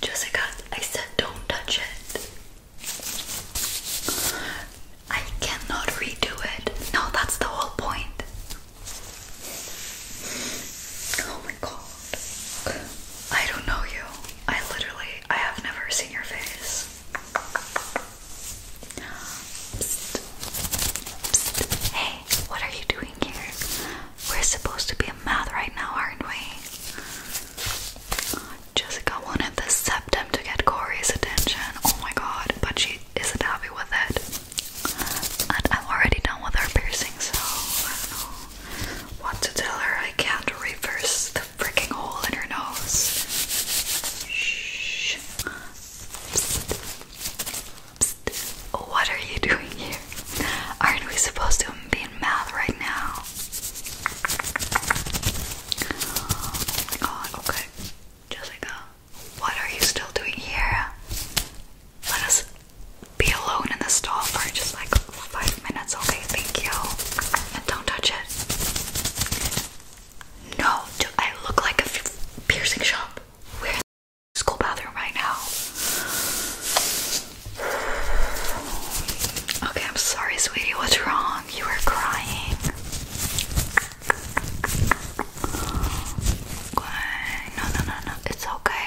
Jessica, I said don't touch it. I cannot redo it. No, that's the whole point. Oh my god. I don't know you. I literally, I have never seen your face. Hey, what are you doing here? We're supposed to be a math right now, aren't we? Jessica wanted the septum to get Corey's attention. Oh my god, but she isn't happy with it. And I'm already done with her piercing, so what to tell her. I can't reverse the freaking hole in her nose. Shh what are you doing here? Aren't we supposed to be in math right now? Oh my god, okay. Jessica, what are you still doing here? Let us be alone in the stall for just like five minutes, okay? Thank you. And don't touch it. No, do I look like a piercing shop? Where school bathroom right now. Okay, I'm sorry, sweetie. What's wrong? You were crying. No, no, no, no. It's okay.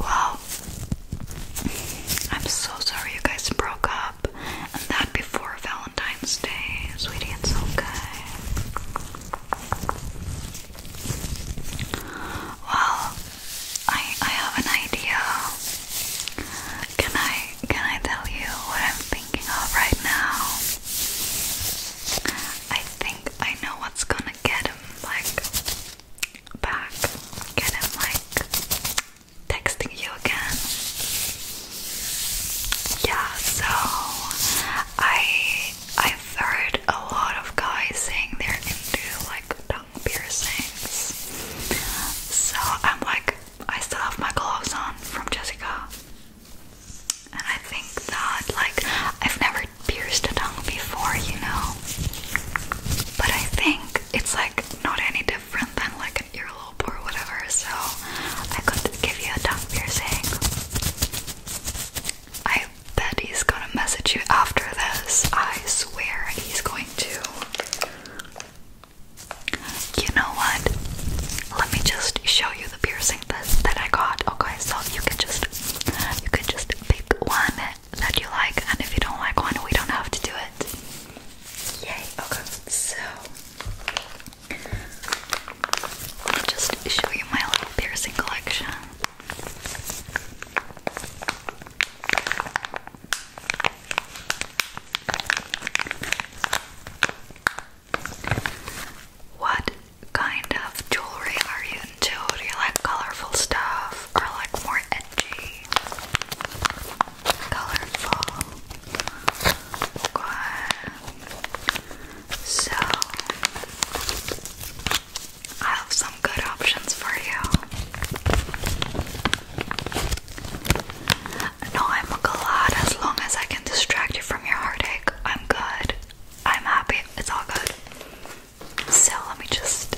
Wow. I'm so sorry you guys broke up. And that before Valentine's Day. Sweetie, it's okay. Well, I I have an idea. Can I can I tell you what I'm thinking of right now? I think I know what's gonna get him like back. Get him like texting you again. Yeah, so I I've heard a lot of guys saying they're into like tongue piercings. So I'm like, I still have my gloves on from Jessica. And I think that, like, I've never pierced a tongue before, you know? But I think it's like not any different than like an earlobe or whatever, so I could give you a tongue piercing. I bet he's gonna message you after this. I swear he's going to. You know what? Let me just show you the piercing that that I got. Okay, so you can just you can just pick one that you like, and if you don't like one, we don't have to do it. Yay! Okay, so let me just show you my little piercing collection. What kind of jewelry are you into? Do you like colorful stuff or like more edgy? Colorful. So, I have some good options for you. No, I'm glad as long as I can distract you from your heartache. I'm good. I'm happy. It's all good. So, let me just.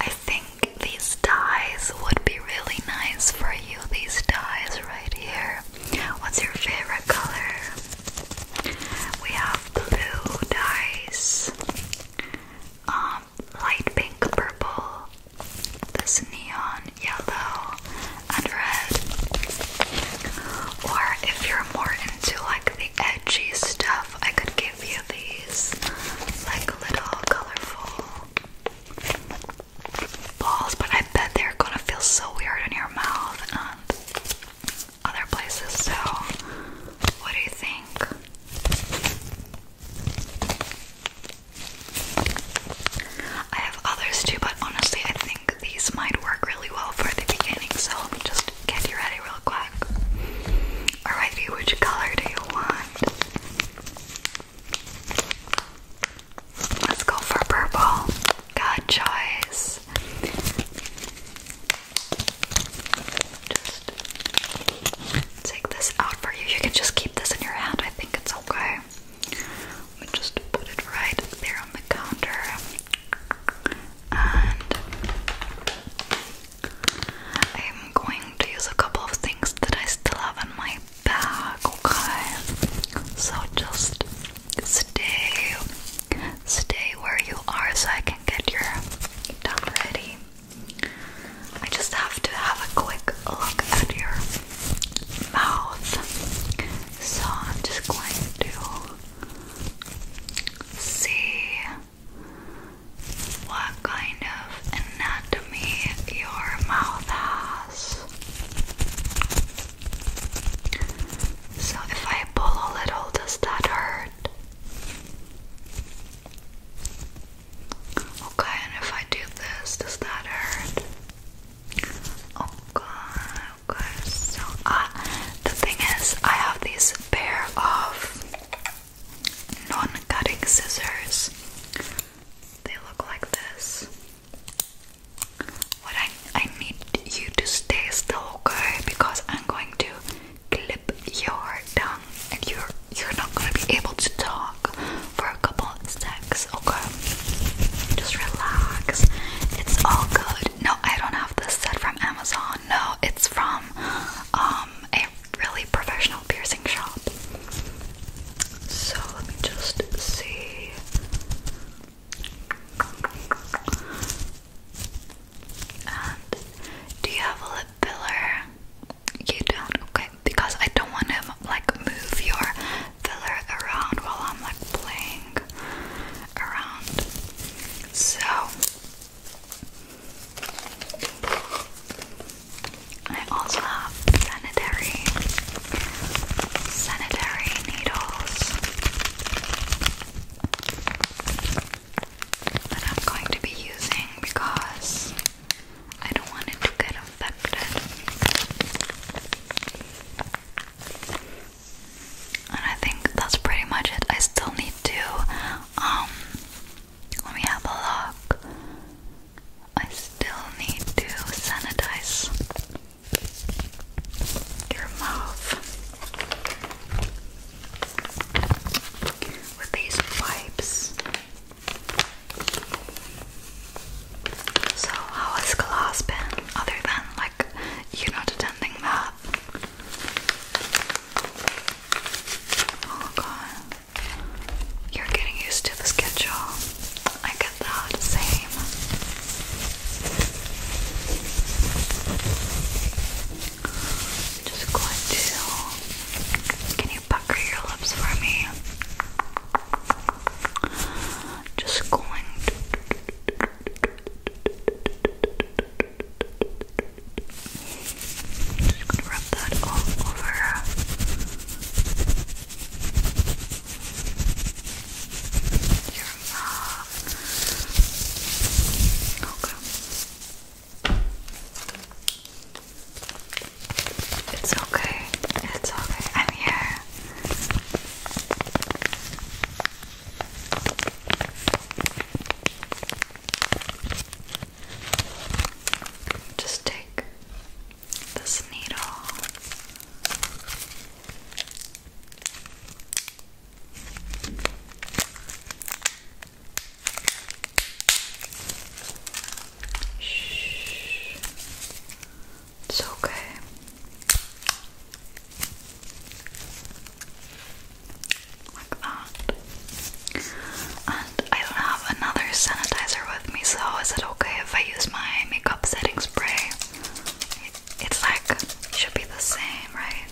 I think these ties would be really nice for you. These ties right here. What's your favorite color? We have blue dyes, um, light pink, purple, this neon yellow, and red. Or if you're more into like the edgy stuff, I could give you these like little colorful balls, but I bet they're gonna feel so weird in your mouth other places. So, what do you think? I have others too, but honestly, I think these might work really well for the beginning. So, let me just get you ready real quick. Alrighty, which color do you want? Let's go for purple. Good choice. Just take this out for you. You can just keep this in your hand. I think it's okay. Let me just put it right there on the counter. And I'm going to use a couple of things that I still have in my bag, okay? So just Stay, stay where you are so I can get your tongue ready. I just have to have a quick look at your mouth. So I'm just going to see what kind of anatomy your mouth has. So if I pull a little, does that hurt? Okay, and if I do this, does that hurt? Okay, okay, so uh, the thing is, I have these pair of non cutting scissors. They look like this. What I I need you to stay still, okay? Because I'm going to clip your tongue, and you're you're not gonna be able to talk for a couple of seconds, okay? Just relax. It's all good. No, I don't have this set from Amazon. No, it's from um a really professional piercing shop. So let me just see do you have a lip filler? You don't? Okay, because I don't want to like move your filler around while I'm like playing around. So I also have sanitary sanitary needles that I'm going to be using because I don't want it to get infected. And I think that's pretty much it. I still need to, um, let me have a look. I still need to sanitize your mouth with these wipes. So, how has class been other than like you not attending that? Oh god, you're getting used to the schedule. I get that same. just going to. Can you pucker your lips for me? Just going to. Just gonna rub that all over your mouth. Okay. It's okay. It's okay. I'm here. Just take this needle. It's okay. Like that. And I have another sanitizer with me, so is it okay if I use my makeup setting spray? It's like should be the same, right?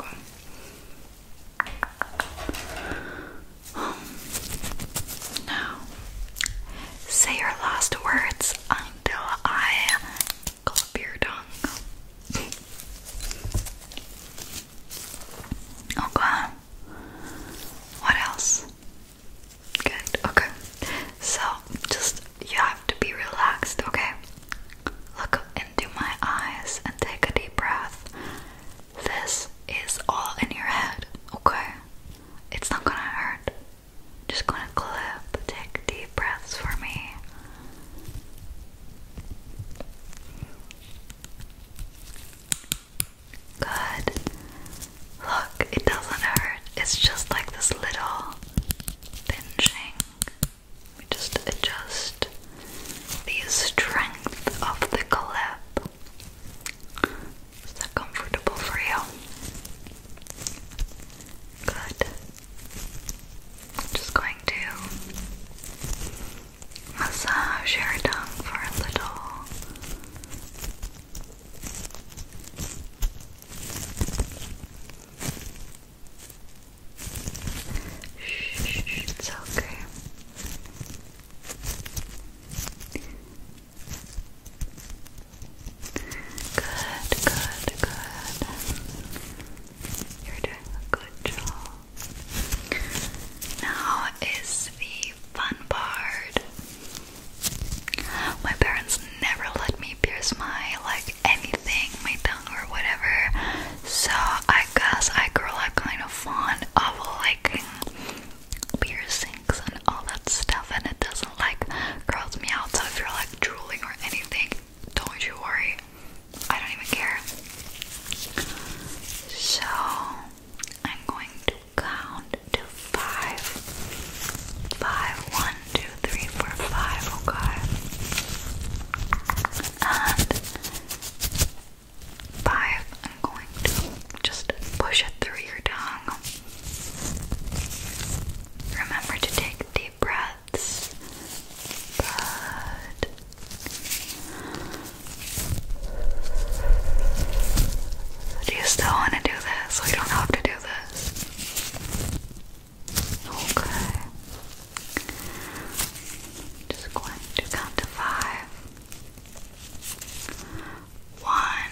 Okay. say your last words until I clip your tongue. Okay. Oh, what else? Good, okay. So just you have to be relaxed, okay? Look into my eyes and take a deep breath. This is all in your head, okay? It's not gonna hurt. Just gonna clip, take deep breaths for me. Good. Look, it doesn't hurt. It's just like this little pinching. We just adjust the strength of the clip. Is that comfortable for you? Good. I'm just going to massage your tongue for a little. Shh, it's okay. Good, good, good. You're doing a good job. Now is the fun part. My parents never let me pierce my like anything, my tongue or whatever. So I guess I grew up kind of fond of like piercings and all that stuff, and it doesn't like gross me out. So if you're like drooling or anything, don't you worry. I don't even care. So I'm going to count to five. Five, one, two, three, four, five, okay. And five, I'm going to just push it through your tongue. Remember to take deep breaths. Good. Do you still want to do this? We don't have to do this. Okay. Just going to count to five. One,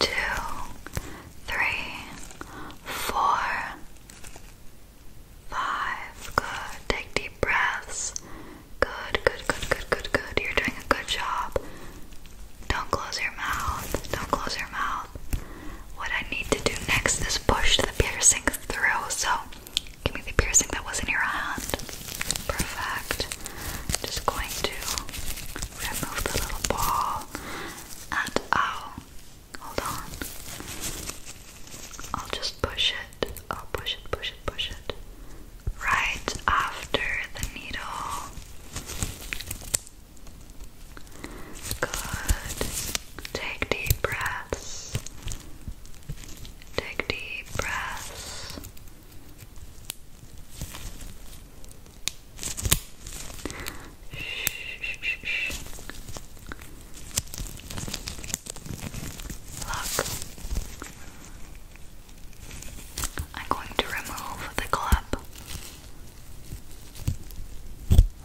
two, three, four, Five. Good. Take deep breaths. Good, good, good, good, good, good. You're doing a good job. Don't close your mouth. Don't close your mouth. What I need to do next is push the piercing through. So give me the piercing that was in your hand. Perfect. I'm just going to remove the little ball and ow. Oh, hold on. I'll just push it. Oh, push it, push it, push it. Right after the needle. Good. Take deep breaths. Take deep breaths. Shh, shh, shh. Look. I'm going to remove the clip.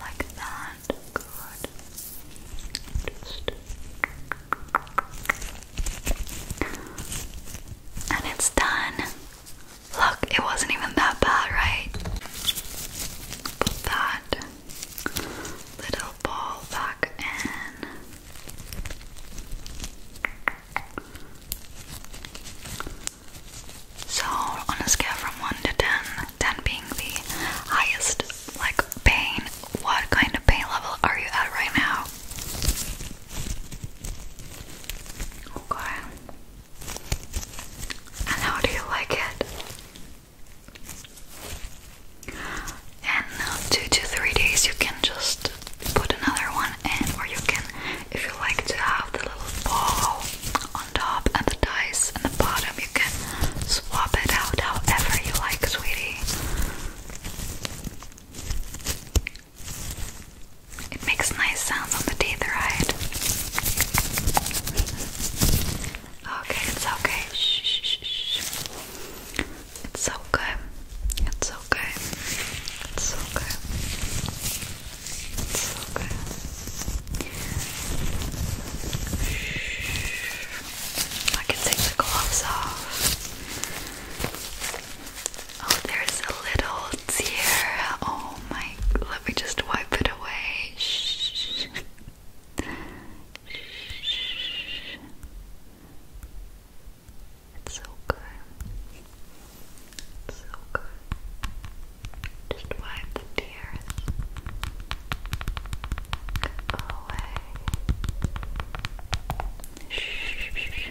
Like that. Good. Just. And it's done. Look, it wasn't even that bad, right? that little ball back in. So, on a scale from 1 to 10, being the highest, like, pain, what kind of pain level are you at right now? Okay. And how do you like it? And two to three days you can just put another one in or you can if you like to have the little ball on top and the dice on the bottom you can swap it out however you like sweetie. It makes nice sounds on the teeth, right? Okay, it's okay. Shh, shh, shh. It's okay. It's okay. It's okay. It's okay. Shh. I can take the gloves off. Oh, there's a little tear. Oh my. Let me just wipe it away. Shh. It's so good. so good. Just wipe the tears away.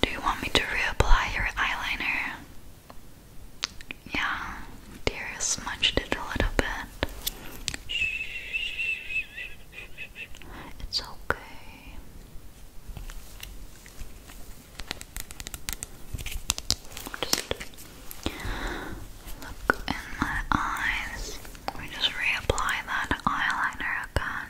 Do you want me to reapply your eyeliner? Yeah, tears smudged it a little bit. It's okay. Just look in my eyes. We just reapply that eyeliner again.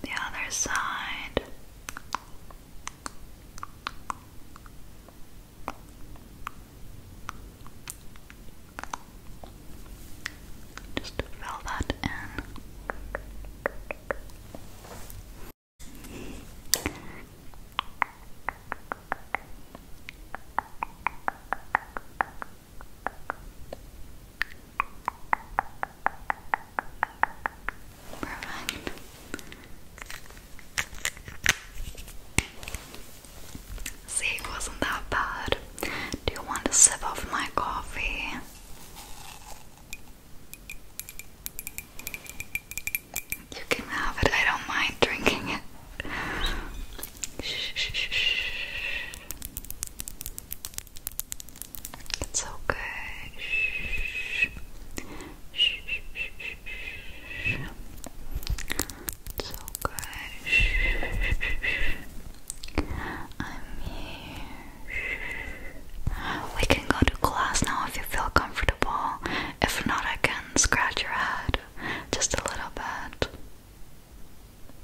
The other side. Just fill that in. See, it wasn't that bad. Do you want to sip off my coffee? You can have it, I don't mind drinking it. It's okay. It's okay. I'm here. We can go to class now if you feel comfortable. If not, I can scratch your head just a little bit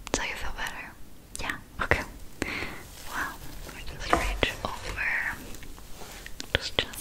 until you feel better. Yeah, okay. Well, we just reach over just gently.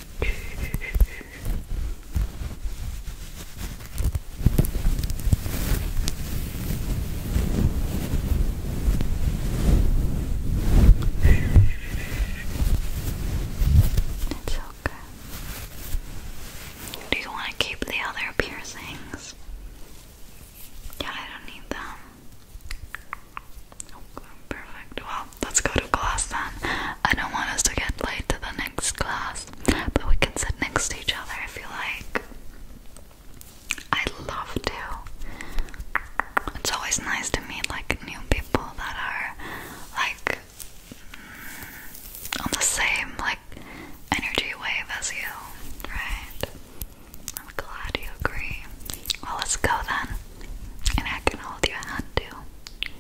It's okay. Do you want to keep the other piercings? Yeah, I don't need them. Oh, perfect. Well, let's go to class then. I don't want us to get late to the next next class, but we can sit next to each other if you like. I love to. It's always nice to meet like new people that are like mm, on the same like energy wave as you, right? I'm glad you agree. Well, let's go then, and I can hold your hand too.